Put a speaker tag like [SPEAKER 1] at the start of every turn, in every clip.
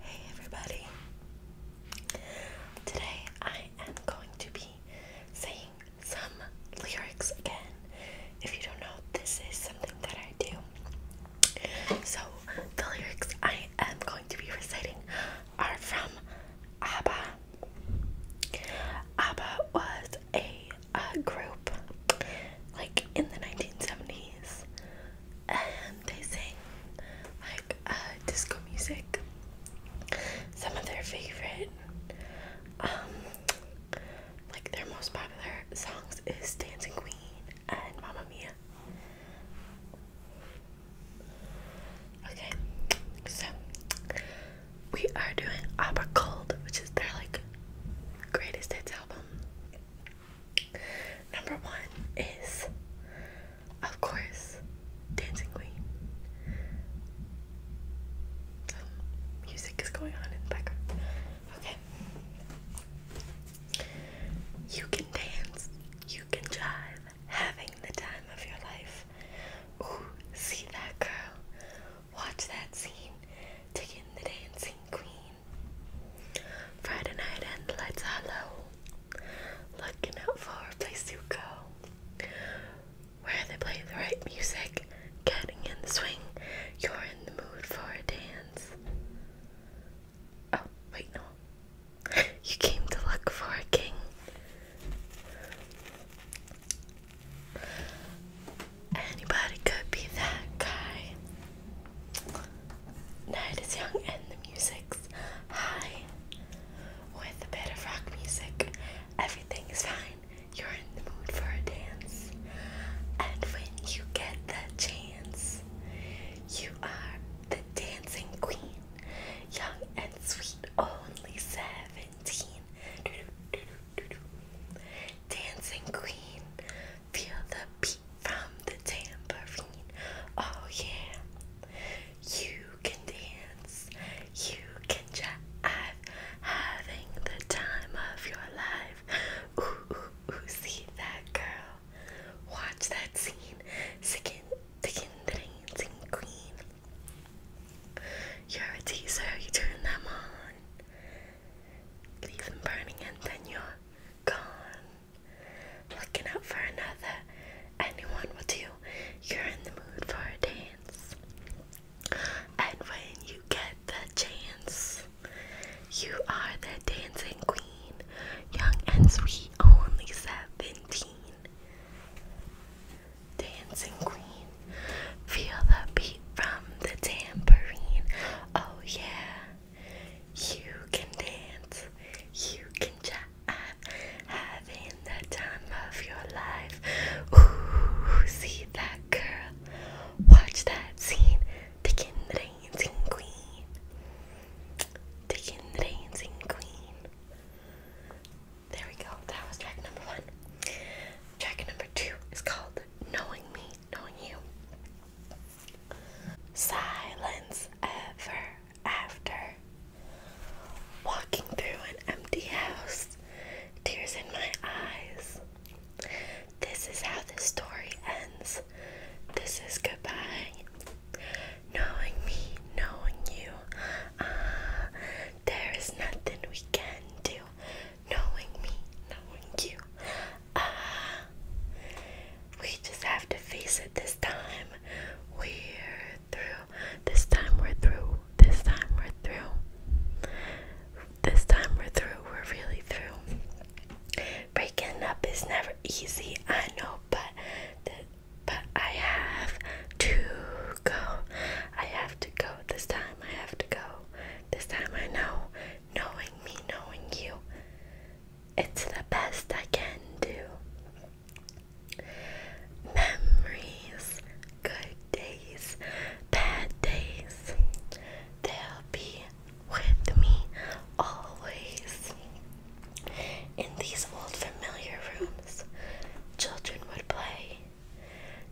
[SPEAKER 1] Hey everybody! Today I am going to be saying some lyrics again. If you don't know, this is something that I do. So, the lyrics I am going to be reciting are from ABBA. ABBA was a uh, group like in the 1970s and they sang like uh, disco music. Some of their favorite, um, like their most popular songs is Dancing Queen and Mamma Mia. Okay, so we are doing Opera Cold, which is their like greatest hits album. Number one is, of course, Dancing Queen. Um, music is going on in the background. Okay. You can dance, you can jive, having the time of your life. Ooh, see that girl. Watch that scene to the dancing queen. Friday night and lights hollow. Looking out for a place to go. Where they play the right music, getting in the swing, you're in the mood for a dance. Oh, wait, no. You came to look for a king. Anybody could be that guy. Night is young and the music's high. With a bit of rock music, everything is fine. You're in the mood for a dance. And when you get the chance, you are the dancing queen. Young and sweet, only 17. Dancing queen, feel the beat from the tambourine. Oh yeah, you can dance, you can jive, having the time of your life. Ooh, ooh, ooh, see that girl. Watch that scene, sickin, tickin, dancing queen. You're a teaser, you turn them on. Leave them burning and then you're gone. Looking out for another, anyone will do. You're in the mood for a dance. And when you get the chance, you are the dancing queen. Young and sweet, only 17. Dancing queen. Feel the beat from the tambourine. Oh, yeah. You can dance. You can jive. Having the time of your life. Ooh, see that girl. Watch that scene. the dancing queen. the dancing queen. There we go. That was track number one. Track number two is called knowing me, knowing you. Silence ever after. Walking through an empty house, tears in my eyes. This is how the story ends. This is goodbye. Knowing me, knowing you. Ah, there is nothing we can do knowing me, knowing you. Ah, we just have to face it this time. We're through. This time we're through. This time we're through. This time we're through. We're really through. Breaking up is never easy, I know, but but I have to go. I have to go this time. I have to go. This time I know knowing me, knowing you. It's the best I can do. Memories, good days, bad days, they'll be with me always. In these old familiar rooms, children would play.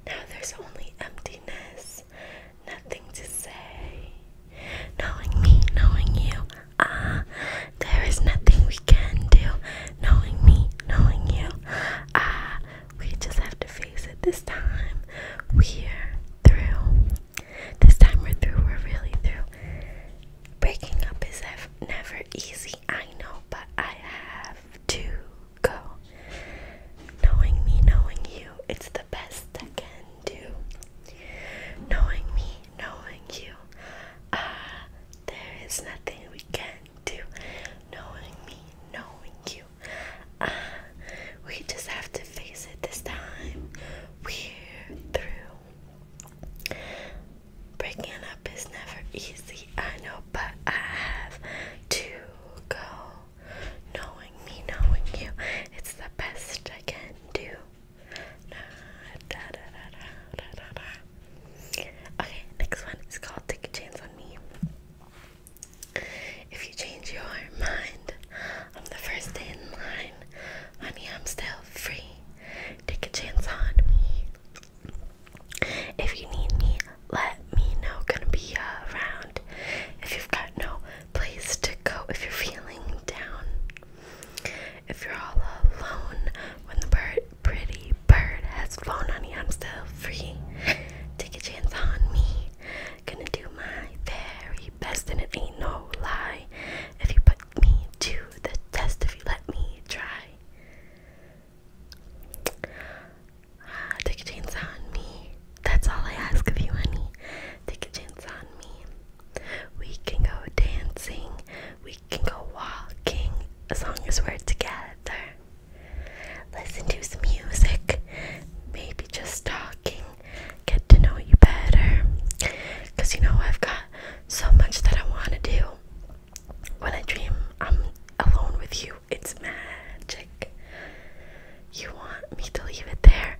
[SPEAKER 1] Now there's only emptiness nothing to say. Knowing me, knowing you, ah, there is nothing we can do. Knowing me, knowing you, ah, we just have to face it this time. We're through. This time we're through, we're really through. Breaking up is never easy, I know, but I have to go. Knowing me, knowing you, it's the best I can do. Knowing me, knowing you, ah, there is nothing we can do. Knowing me, knowing you, ah, we just have to face it this time. We're through. Breaking up is never easy, I know, but I have to go knowing me, knowing you, it's the best I can do. Okay, next one is called Take a Chance on Me. If you change your mind on the first in line, honey, I'm still free. Take a chance on me. If you need me, let me know. Gonna be around. If you've got no place to go if you're feeling down. If you're all alone when the bird, pretty bird has flown, honey, I'm still free. Take a chance on me. Gonna do my very best, and it ain't no lie. If you put me to the test, if you let me try. Take a chance on me. That's all I ask of you, honey. Take a chance on me. We can go dancing. We can go walking as long as we're together. Listen to some music. Maybe just talking. Get to know you better. Because you know, I've got so much that I want to do. When I dream, I'm alone with you. It's magic. You want me to leave it there?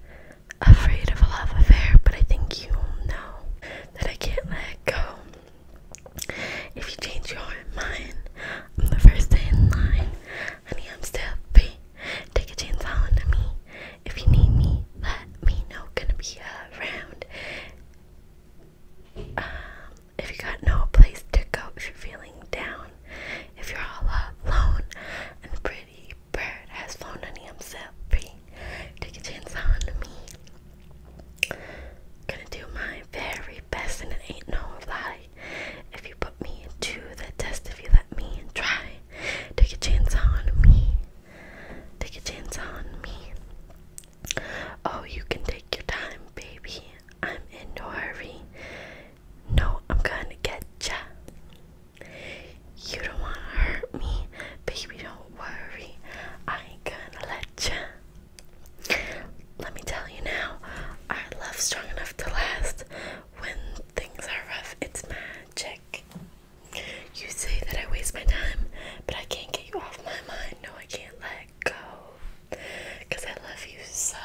[SPEAKER 1] Afraid of a love affair, but I think you know that I can't let go. If you change your mind, I'm the first in line. Honey, I'm still free. Take a chance on me. If you need me, let me know. Gonna be around. Um, if you got no place to go, if you're feeling down, if you're all alone and pretty pretty bird has flown unto himself free. Take a chance on me. Gonna do my very best, and it ain't no lie. If you put me into the test, if you let me try, take a chance on me. Take a chance on me. Oh, you can take your time, baby. I'm in no hurry. No, I'm gonna get ya. You don't wanna hurt me, baby. Don't worry, I ain't gonna let you. Let me tell you now, our love's strong enough to last. When things are rough, it's magic. You say that I waste my time, but I can't get you off my mind. No, I can't let go. Cause I love you so.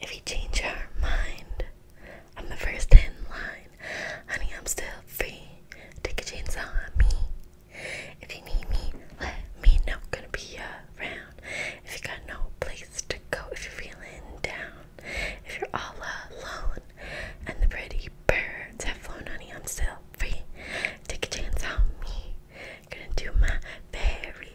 [SPEAKER 1] If you change your mind, I'm the first in line. Honey, I'm still free. Take a chance on me. If you need me, let me know. Gonna be around. If you got no place to go, if you're feeling down, if you're all alone, and the pretty birds have flown, honey, I'm still free. Take a chance on me. Gonna do my very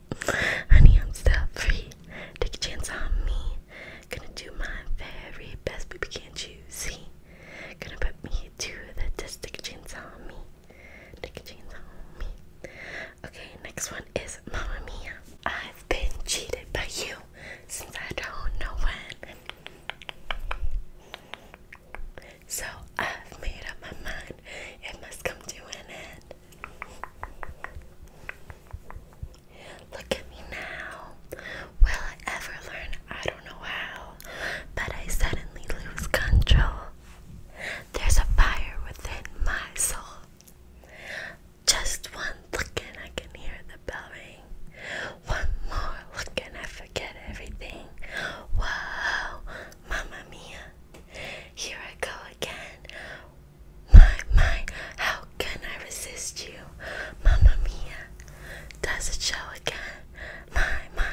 [SPEAKER 1] Honey, I'm still free. Take a chance on me. Gonna do my very best, baby, can't you see? Gonna put me to the test. Take a chance on me. Take a chance on me. Okay, next one is Mama Mia. I've been cheated by you since I don't know when. So I've made up my mind. It must come to an end. Look at me now. Will I ever learn? I don't know how, but I suddenly lose control. There's a fire within my soul. Just one look and I can hear the bell ring. One more look and I forget everything. Wow, Mamma Mia. Here I go again. My, my, how can I resist you? Mamma mia, does it show again? My, my,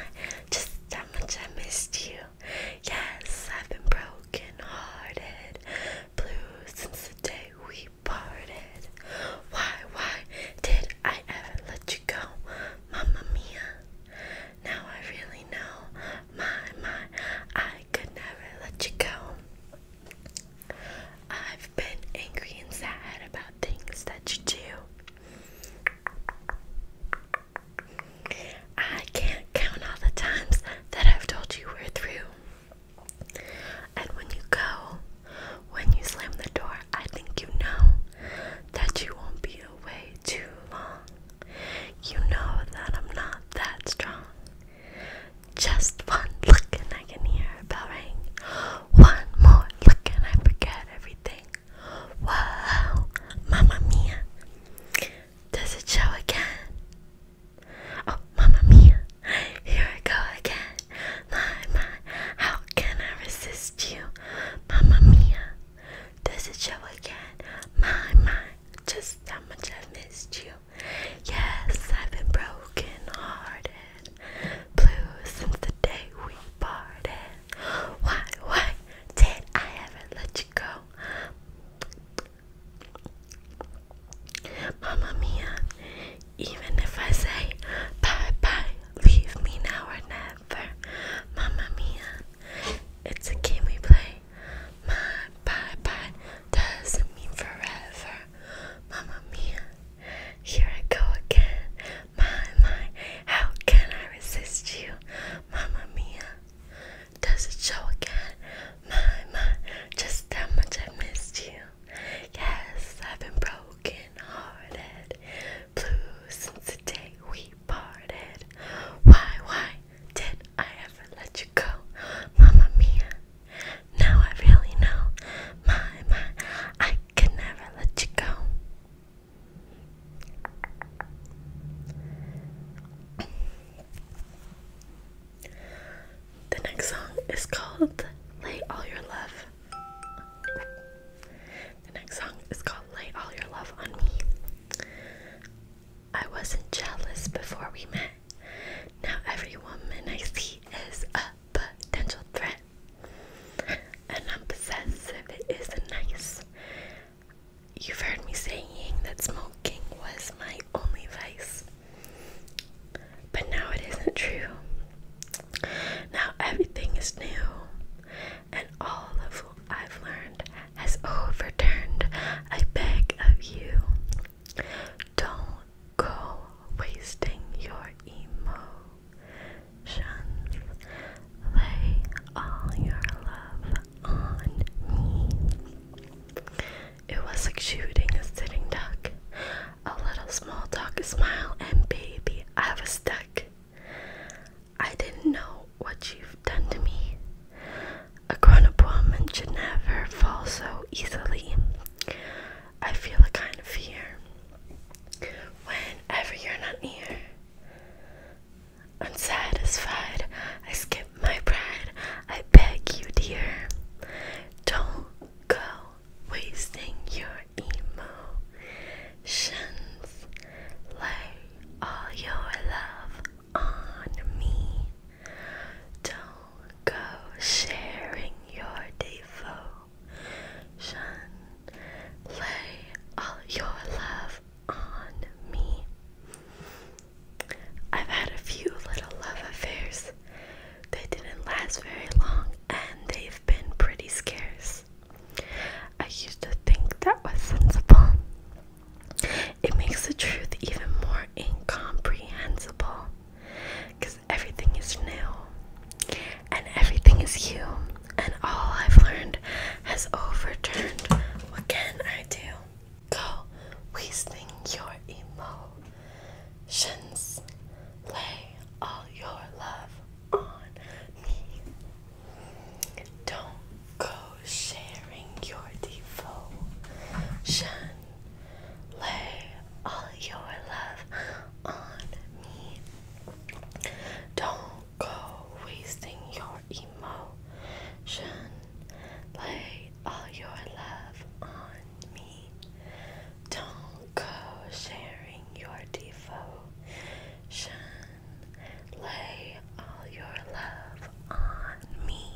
[SPEAKER 1] just how much I missed you. Yes, I've been broken hearted, blue since the day we parted. Why, why did I ever let you go? Mamma mia. Now I really know, my, my, I could never let you go. I've been angry and sad about things that you do. I can't count all the times that I've told you we're through. And when you go, when you slam the door, I think you know that you won't be away too long. You know that I'm not that strong. Just one look and I can hear a bell ring. One more look and I forget everything. Wow, Mamma Mia. Does it show again? Oh, Mamma Mia. Here I go again. My, my, how can I resist you? Mamma Mia. Does it show again? My, my, just how much I've missed you. Yes, I've been broken hearted, blue since the day we parted. Why, why did I ever let you go? Mamma mia, even if I say bye bye, leave me now or never. Mamma mia, it's a game we play. My bye bye doesn't mean forever. Mamma mia, here I go again. My, my, how can I resist you? Mamma mia, does it show again? My, my, just how much I missed you. Yes, I've been broken hearted, blue since the day we parted. Why, why did I ever let you go? Mamma mia. Now I really know. My, my, I could never let you go. The next song is called Lay All Your Love. The next song is called Lay All Your Love on Me. I wasn't jealous before we met. Now every woman I see is a potential threat. And I'm possessive, it isn't nice. You've heard me saying that smoking was my only vice. But now it isn't true. Now everything is new, and all of what I've learned has overturned, I beg of you, don't go wasting your emotions. Lay all your love on me. It was like shooting a sitting duck. A little small talk, a smile, and baby, I was stuck. I didn't know what you've done to me. A grown up woman should never fall so easily. I feel a kind of fear whenever you're not near. Unsatisfied, I skip my pride. I beg you, dear, don't go wasting your emotions. Lay all your love on me. Don't go sharing your devotion. Lay all your love on me. I've had a few little love affairs. They didn't last very long and they've been pretty scarce. I used to think that was sensible, it makes the truth even more incomprehensible because everything is new and everything is you, and all I've learned has overturned. What can I do? Go wasting your emotions, lay all your love on me. Don't go sharing your devotion. Lay all your love on me. Don't go wasting your emotion. Lay all your love on me. Don't go sharing your devotion. Lay all your love on me.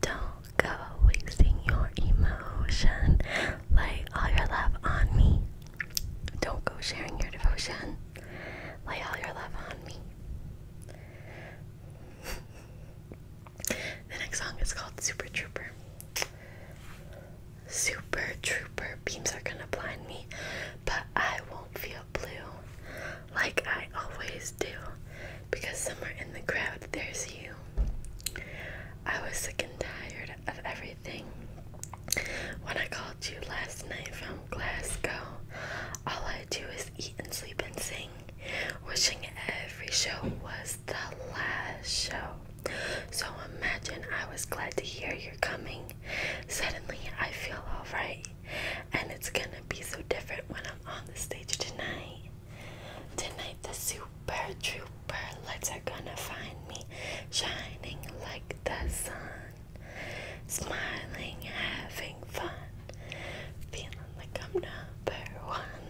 [SPEAKER 1] Don't go wasting your emotion. Lay all your love on me. Don't go sharing your devotion. Lay all your love on me. the next song is called Super Trooper. Super Trooper beams are gonna blind me, but I won't feel blue like I always do, because somewhere in the crowd there's you. I was sick and tired of everything. When I called you last night from Glasgow, all I do is eat and sleep and sing, wishing every show was the last show. So imagine I was glad to hear you're coming. Suddenly I feel alright and it's gonna be so different when I'm on the stage tonight. Tonight, the super trooper lights are gonna find me shining like the sun, smiling, having fun, feeling like I'm number one.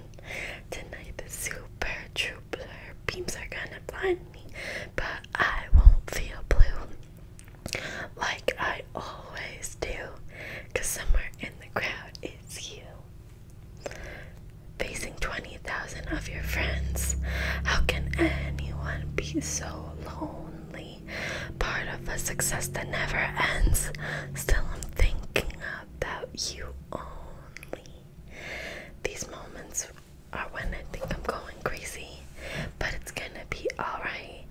[SPEAKER 1] Tonight, the super trooper beams are gonna blind me, but I won't feel blue like I always do, because somewhere in the crowd it's you. Facing 20,000 of your friends, how can anyone be so lonely? Part of a success that never ends. Still, I'm thinking about you only. These moments are when I think I'm going crazy, but it's gonna be alright.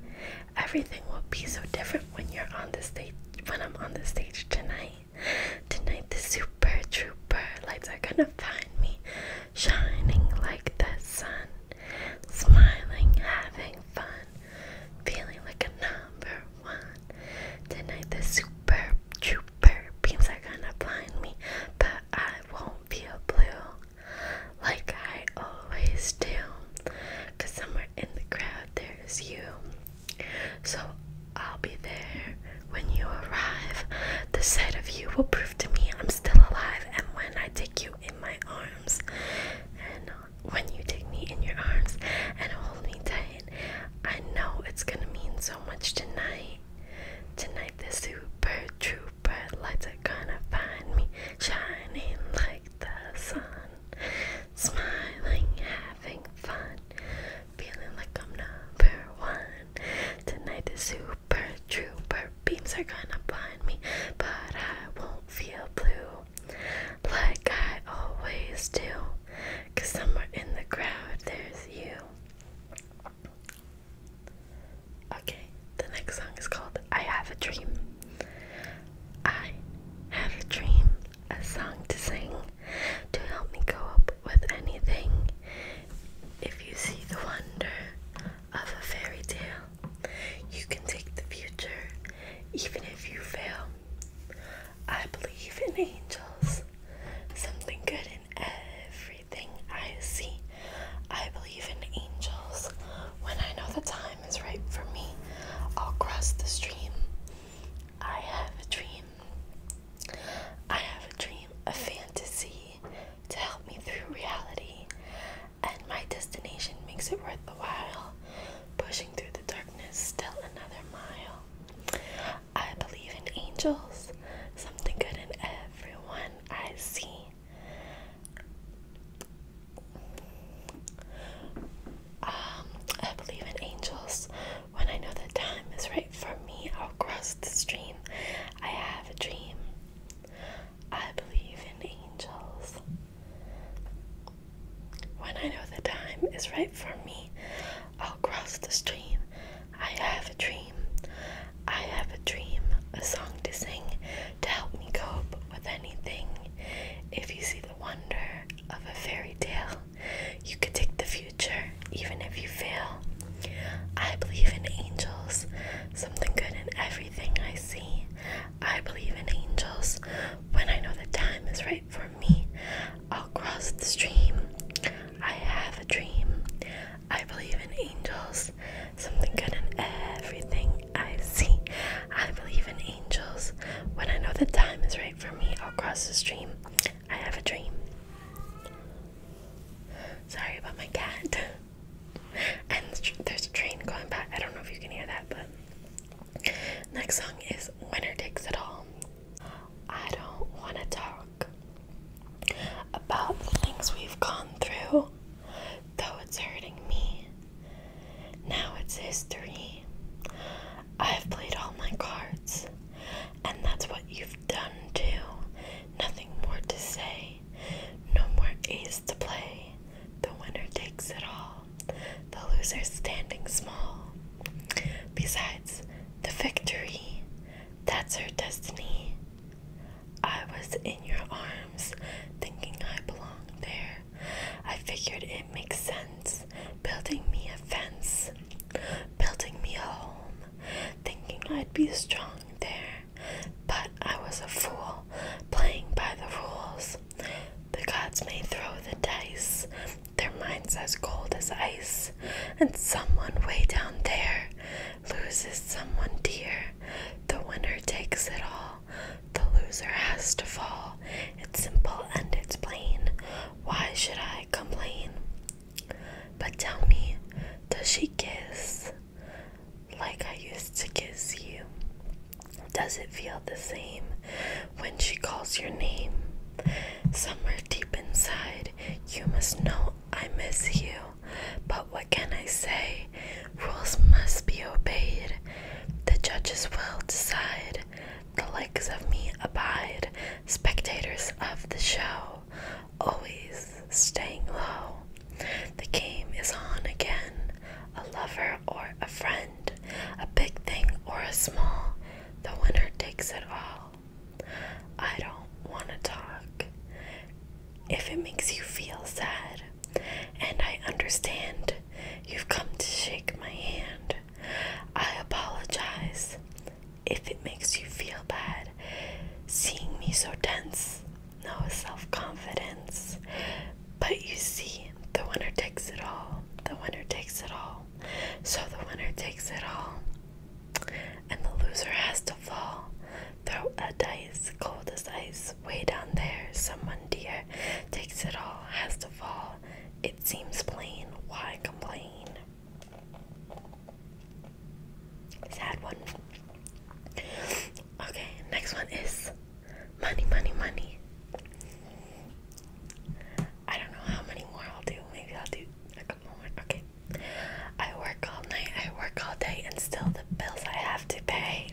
[SPEAKER 1] Everything will be so different when you're on the stage when I'm on the stage tonight. Tonight the super trooper lights are gonna find me shining like the sun, smiling, having fun, feeling like a number one. Tonight the super trooper beams are gonna blind me, but I won't feel blue like I always do. Cause somewhere in the crowd there is you. So I'll be there when you arrive. The sight of you will prove to me I'm still alive, and when I take you in my arms, and uh, when you take me in your arms and hold me tight, I know it's gonna mean so much tonight. Tonight, the super trooper lights are gonna find me shining like the sun smiling, having fun, feeling like I'm number one. Tonight is super trooper, beams are gonna blind me, but I won't feel blue like I always do. somewhere in the crowd there's you. Okay, the next song is called I Have a Dream. I had a dream, a song to sing, to help me go with anything. If you see the wonder of a fairy tale, you can take the future, even if you fail. I believe in angels, something good in everything I see. I believe in angels when I know the time time right for me, I'll cross the stream. I have a dream. I have a dream, a fantasy to help me through reality, and my destination makes it worth the while. Pushing through the darkness, still another mile. I believe in angels, something good in everyone I see. Um, I believe in angels. When I know the time is right for me, I'll cross the stream. I have a dream. I believe in angels. When I know the time is right for me, I'll cross the stream. I have a dream. I have a dream, a song to sing to help me cope with anything. If you see the wonder of a fairy tale. You could take the future even if you fail. I believe in angels, something good in everything I see. I believe in angels. When I know the time is right for me, I'll cross the stream. I have a dream. I believe in angels, something good in everything I see. I believe in angels. When I know the time is right for me, I'll cross the stream. I have a dream. Sorry about my cat. and there's a train going by. I don't know if you can hear that, but. Next song is Winner Takes It All. I don't want to talk about the things we've gone through, though it's hurting me. Now it's history. I've played all my cards, and that's what you've done too. Nothing more to say, no more ace to play. The winner takes it all, the loser standing small. Besides, the victory, that's our destiny. I was in your arms, thinking I belonged there. I figured it makes sense. Building me a fence, building me a home, thinking I'd be strong there. But I was a fool, playing by the rules. The gods may throw the dice, their minds as cold as ice, and someone way down there loses someone dear. The winner takes it all. The loser has to fall. It's simple and it's plain. Why should I complain? But tell me, does she kiss like I used to kiss you? Does it feel the same when she calls your name? Somewhere deep inside, you must know I miss you. But what can I say? Rules must be obeyed. The judges will decide. The likes of me abide, spectators of the show, always staying low. The game is on again, a lover or a friend, a big thing or a small, the winner takes it all. I don't want to talk if it makes you feel sad, and I understand you've come to shake my hand. I apologize if it makes you feel bad seeing me so dense, No self confidence. But you see, the winner takes it all. The winner takes it all. So the winner takes it all. And the loser has to fall. Throw a dice, cold as ice, way down there. Someone dear takes it all, has to fall. It seems plain. Why complain? Sad one. Okay, next one is money, money, money. I don't know how many more I'll do. Maybe I'll do a couple more. Okay. I work all night, I work all day, and still the bills I have to pay.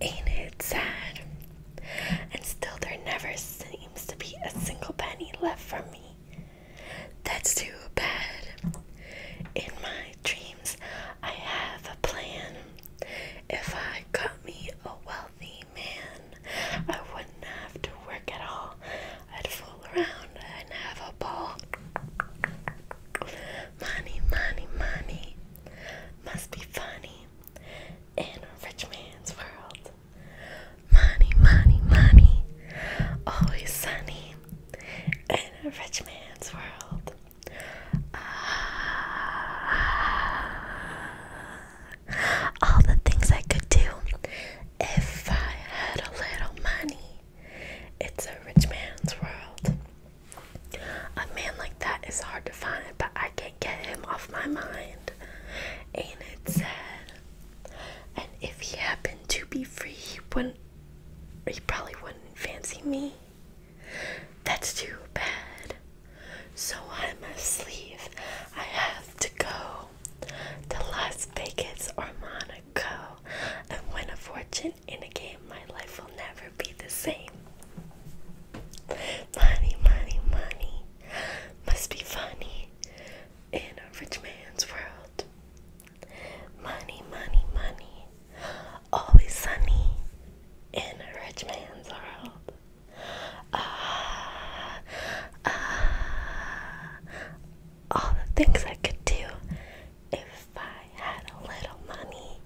[SPEAKER 1] Ain't it sad? and still there never seems to be a single penny left for me. That's too bad. In my dreams, I have a plan. If I got me a wealthy man, I wouldn't have to work at all. I'd fool around and have a ball. Money, money, money must be funny in a rich man's world. Money, money, money, always sunny in a rich man's world. Ah, all the things I could do if I had a little money. It's a rich man's world. A man like that is hard to find, but I can't get him off my mind and it said, and if he happened to be free, he wouldn't, he probably wouldn't fancy me. That's too bad. So I must leave. I have to go to Las Vegas or Monaco and win a fortune in a game. My life will never be the same. Money, money, money must be funny in a rich man's world. Money, money, money, always sunny in a rich man's world. Ah, ah, all the things I could do if I had a little money.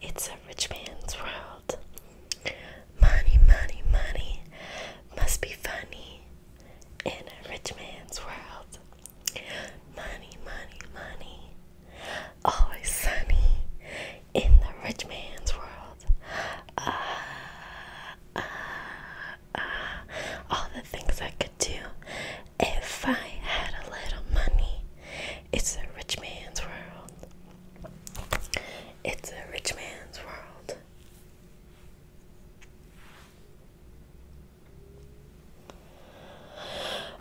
[SPEAKER 1] It's a rich man's world. Money, money, money must be funny in a rich man's world. Money, money, money always sunny in the rich man's world. Ah, uh, uh, uh, all the things I could do if I had a little money. It's a rich man's world. It's a rich man's world.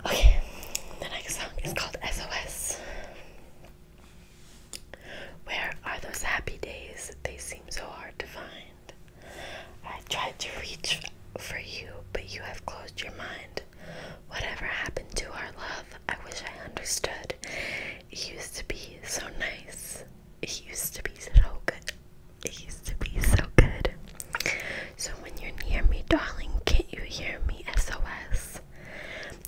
[SPEAKER 1] Okay, the next song is called SOS. Where are those happy days? that They seem so hard to find. I tried to reach for you, but you have closed your mind. Whatever happened to our love, I wish I understood. It used to be so nice. It used to be so good. It used to be so good. So when you're near me, darling, can't you hear me? SOS.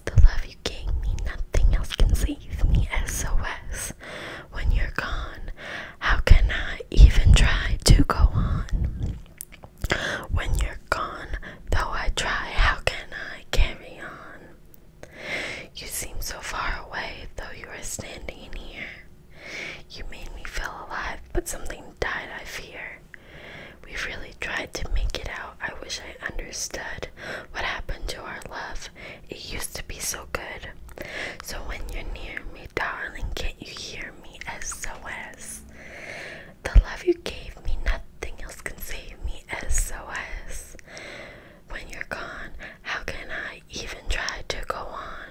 [SPEAKER 1] The love you gave me, nothing else can save me. SOS. When you're gone, how can I even try to go on? When you're gone, though I try, how can I carry on? You seem so far away, though you are standing here. You made me feel alive, but something died, I fear. We really tried to make it out. I wish I understood what happened to our love. It used to be so good. So when you're near me, darling, can't you hear me? SOS. The love you gave me, nothing else can save me. SOS. When you're gone, how can I even try to go on?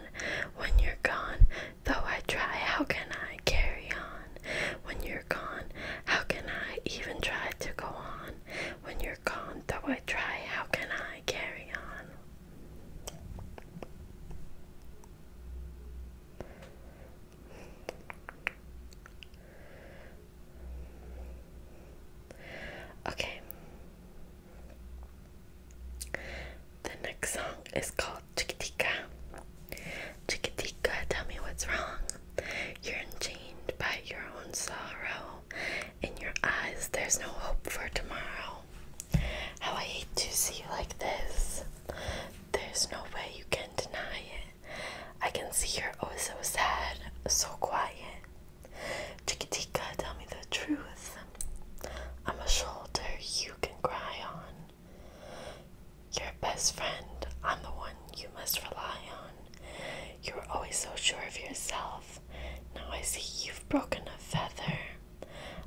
[SPEAKER 1] When you're gone, though I try, how can I carry on? When you're gone, how can I even try to go on? When you're gone, though I try, how can I carry on? Okay. The next song is called Chikitika. Chikitika, tell me what's wrong. You're enchained by your own sorrow. and your eyes, there's no hope for tomorrow. How I hate to see you like this. There's no way you can deny it. I can see you're oh so sad, so quiet. Chikitika, tell me the truth. I'm a shoulder you can cry on. Your best friend, I'm the one you must rely on. You are always so sure of yourself. Now I see you've broken a feather.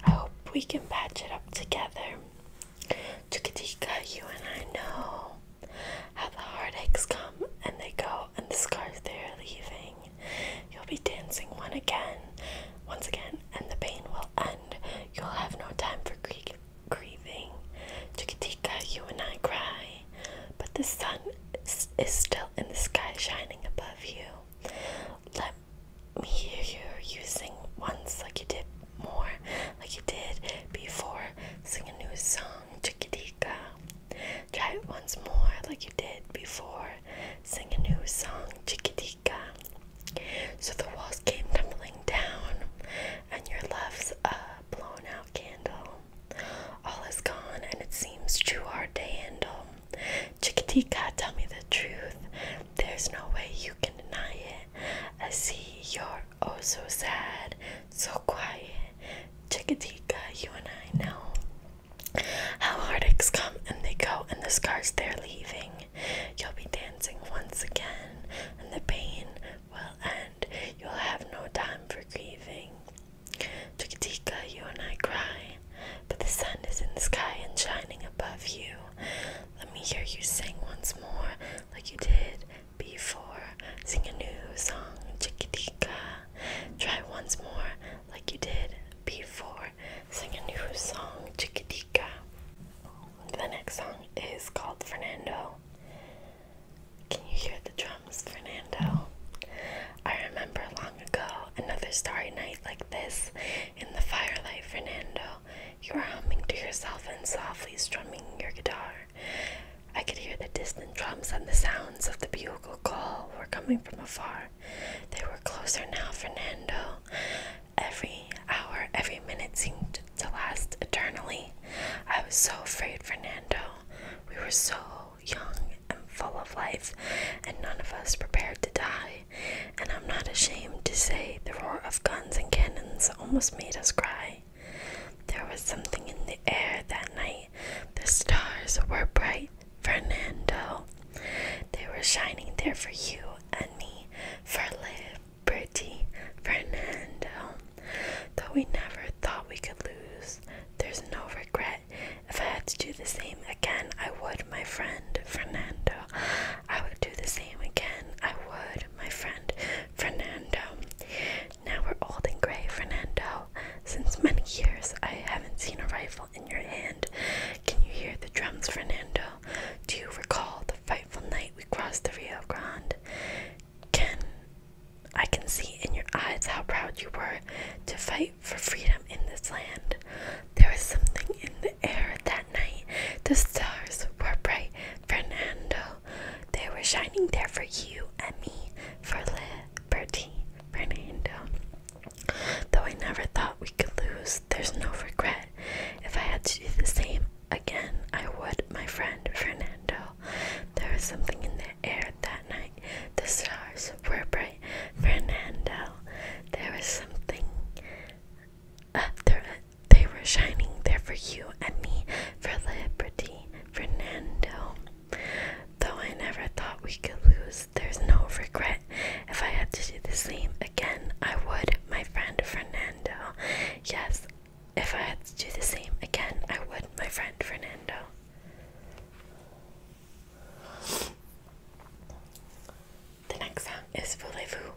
[SPEAKER 1] I hope we can patch it up together. Chukatika, you and I know how the heartaches come and they go, and the scars they are leaving. You'll be dancing one again, once again, and the pain will end. You'll have no time for grie grieving. Chikitika, you and I cry, but the sun is, still in the sky, shining above you. Let me hear you, you sing once like you did more, like you did before. Sing a new song. to. Chikitika. Try it once more like you did before. Sing a new song, Chikitika. So the walls came tumbling down, and your love's a blown out candle. All is gone, and it seems too hard to handle. Chikitika, tell me the truth. There's no way you can deny it. I see you're oh so sad, so quiet. Chickatica, you and I know how heartaches come and they go, and the scars they're leaving. You'll be dancing once again, and the pain will end. You'll have no time for grieving. Chickatica, you and I cry, but the sun is in the sky and shining above you. Let me hear you sing once more, like you did before. Sing a new song, Chickatica. Try once more, like you did before. Sing a new song, Chiquitica. The next song is called Fernando. Can you hear the drums, Fernando? I remember long ago another starry night like this in the firelight, Fernando. You were humming to yourself and softly strumming your guitar. I could hear the distant drums and the sounds of the bugle call were coming from afar. They were closer now, Fernando. Every hour, every minute seemed to last eternally. I was so afraid, Fernando. We were so young and full of life, and none of us prepared to die. And I'm not ashamed to say the roar of guns and cannons almost made us cry. There was something in the air that night. The stars were bright Fernando. They were shining there for you and me, for liberty, Fernando. Though we never thought we could lose, there's no regret. If I had to do the same again, I would, my friend, Fernando. I would do the same again, I would, my friend, Fernando. Now we're old and gray, Fernando. Since many years I haven't seen a rifle in your hand. Can you hear the drums, Fernando? Do you recall the frightful night we crossed the Rio Grande? Can I can see in your eyes how proud you were to fight for freedom in this land. There was something in the air that night. The stars were bright, Fernando. They were shining there for you and me, for Le Fernando. Um, though I never thought we could lose, there's no regret. If I had to do the same again, I would, my friend Fernando. There was something in the air that night. The stars were bright. Fernando, there was something. Uh, they were shining there for you and me, for liberty. Fernando, Though I never thought we could lose, there's no regret. If I had to do the same again, I would, my friend Fernando. Yes, if I had to do the same again, I would, my friend Fernando. The next song is Voulez-vous.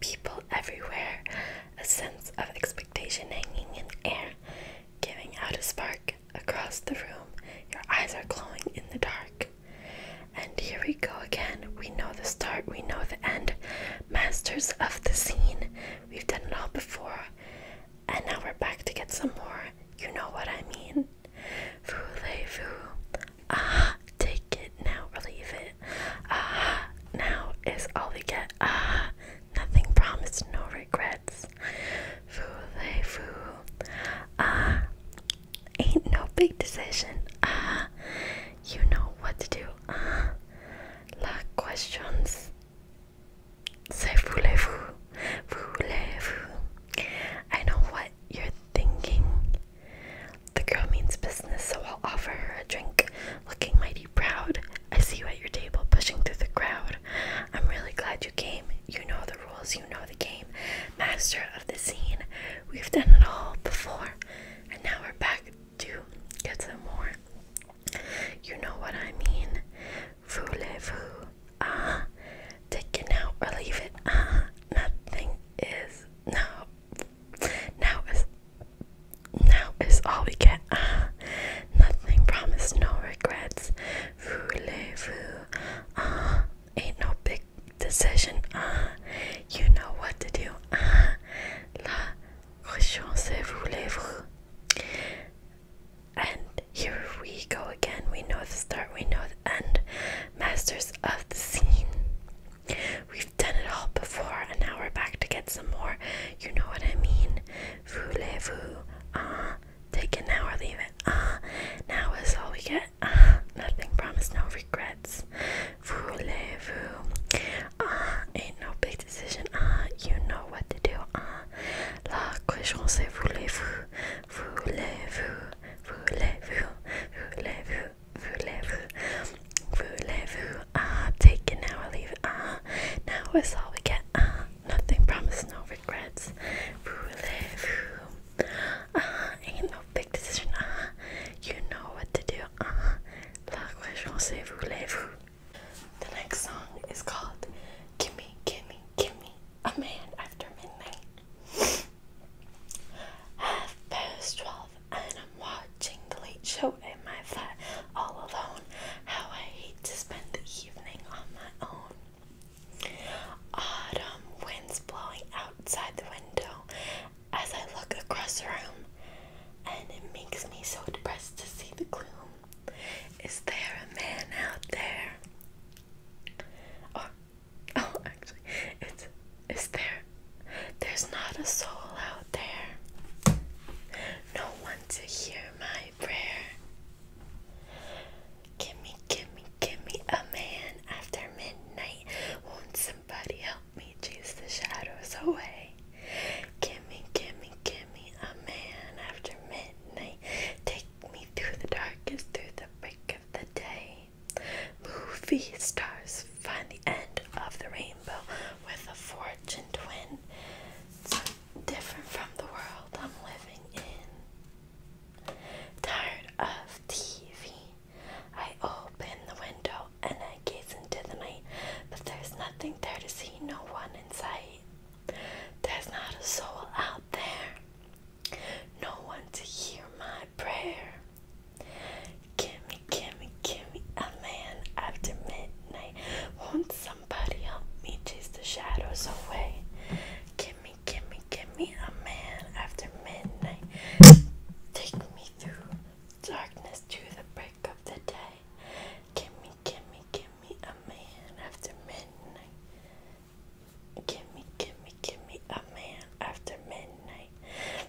[SPEAKER 1] People everywhere, a sense of expectation hanging in the air, giving out a spark, across the room. Your eyes are glowing in the dark. And here we go again. We know the start, we know the end. Masters of the scene. We've done it all before. And now we're back to get some more. You know what I mean. Voulez-vous? Ah, take it now or leave it. Ah, now is all we get. Ah, nothing promised, no regret nuts. Foo Ah, ain't no big decision. Ah, you know what to do. Ah, uh, la questions. C'est voulez-vous, voulez-vous. I know what you're thinking. The girl means business, so I'll offer her a drink. Looking mighty proud, I see you at your table pushing through the crowd. I'm really glad you came. You know the rules, you know the game. Master of the scene. We've done it all before, and now we're back to get some more. You know what I mean. voulez fool. Ah, uh-huh. take it now or leave it. Ah, nothing is no. Now is now is all we get. Ah, nothing promised, no regrets voulez-vous? Ah, uh, ain't no big decision. Ah, you know what to do. Ah, la question c'est voulez And here we go again. We know the start, we know the end. Masters of the scene. We've done it all before, and now we're back to get some more. You know what I mean? Voulez-vous? Ah. Take it now or leave it. Ah, now is all we get. Ah, nothing promised, no regrets. Voulez-vous? Ah, uh, ain't no big decision. Ah, uh, you know what to do. Ah, uh, la question c'est voulez-vous? Voulez-vous? Voulez-vous? Voulez-vous? Voulez-vous? Voulez-vous? Ah, uh, take it now or leave it. Ah, uh, now is all we get. Ah. Uh, nothing promised, no regrets. Who live? Who? Uh ain't no big decision. Uh you know what to do. Uh -huh. La question c'est voulez-vous? The next song is called "Gimme, Gimme, Gimme a Man After Midnight." Half past twelve, and I'm watching late show in my flat all alone. How I hate to spend the evening on my own. Autumn winds blowing outside the window as I look across the room, and it makes me so depressed to see the gloom. Is there a man out there? Or, oh, oh, actually, it's is there? There's not a soul out there. No one to hear my prayer. Gimme, gimme, gimme a man after midnight. Won't somebody help me chase the shadows away? Gimme, gimme, gimme a man after midnight. Take me through the darkest, through the break of the day. Movie stars find the end of the rainbow with a fortune twin. So different from the world I'm living in. Tired of TV, I open the window and I gaze into the night, but there's nothing there to see, no one in sight. There's not a soul out there, no one to hear my prayer. Gimme, gimme, gimme a man after midnight. Won't somebody help me chase the shadows away? Gimme, gimme, gimme a man after midnight. Take me through darkness to the break of the day. Gimme, gimme, gimme a man after midnight. Gimme, gimme, gimme a man after midnight.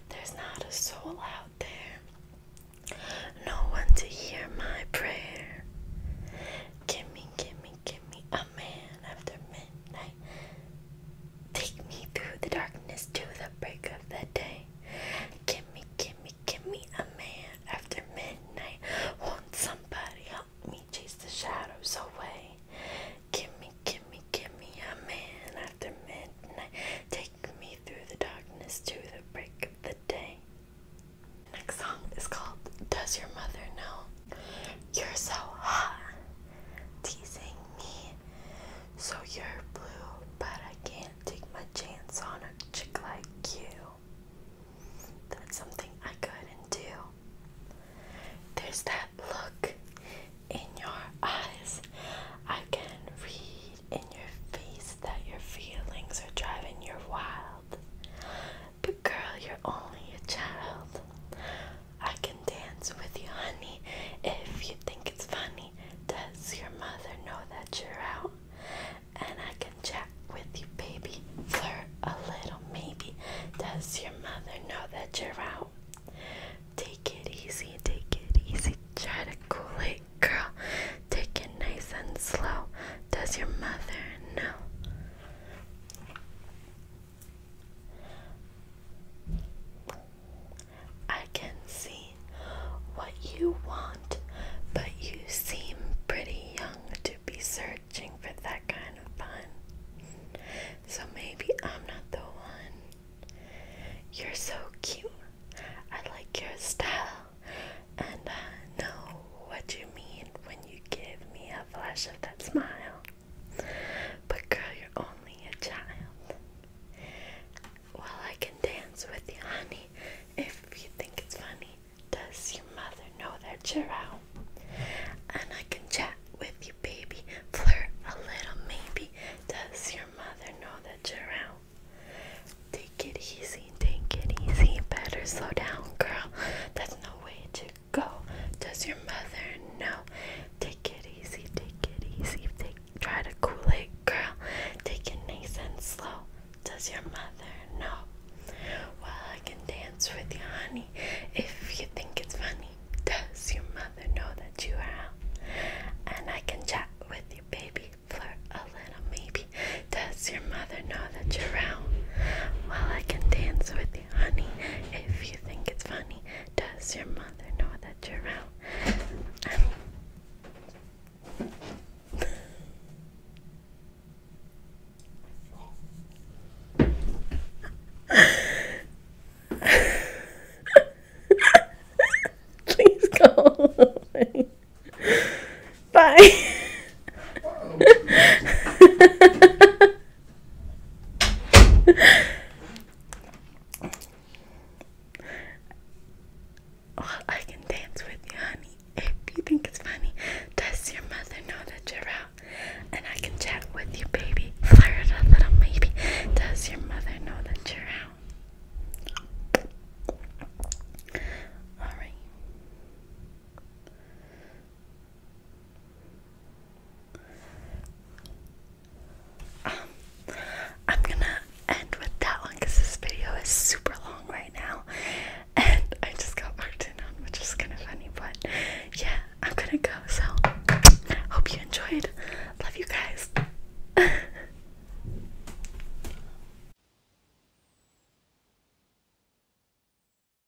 [SPEAKER 1] There's not a soul out there. No one to hear my prayer. Gimme, gimme, give me a man after midnight. Take me through the darkness to the break of the day. Give me, give me, give me a man after midnight. will somebody help me chase the shadows away? Give me, give me, give me a man after midnight. Take me through the darkness to the break of the day. Next song is called Does Your Mother Know? You're so hot, teasing me. So you're blue, but I can't take my chance on a chick like you. That's something I couldn't do. There's that look in your eyes. I can read in your face that your feelings are driving you wild. But girl, you're only a child. I can dance with you, honey, if you think it's funny. Does your mother know that you're out? And I can chat with you, baby. Flirt a little, maybe. Does your mother know that you're out? Take it easy, take it easy. Try to cool it, girl. Take it nice and slow. Does your mother know? I can see what you want, but you seem pretty young to be searching for that kind of fun. So maybe I'm not the one. You're so cute. I like your style, and I know what you mean when you give me that flash of that smile. But girl, you're only a child. Well, I can dance with you, honey, if you think it's funny. Does your mother know that you're out? And I can chat with you, baby, flirt a little, maybe. Does your mother know that you're out? Take it easy, take it easy. Better slow down, girl. That's no way to go. Does your mother know? Take it easy, take it easy. Take, try to cool it, girl. Take it nice and slow. Does your mother know? Well, I can dance with you, honey, if you think it's funny. Does your mother know that you are out? And I can chat with you, baby, flirt a little, maybe. Does your mother know that you're out? Well, I can dance with you honey. If you think it's funny, does your mother know that you're out? Please go away. Bye. Oh, I can dance with you, honey. If you think it's funny, does your mother know that you're out? And I can chat with you, baby. Flirt a little, maybe. Does your mother know that you're out? Alright. Um, I'm gonna end with that one because this video is super long right now, and I just got worked in on, which is kind of funny. But yeah, I'm gonna go. So hope you enjoyed. Love you guys.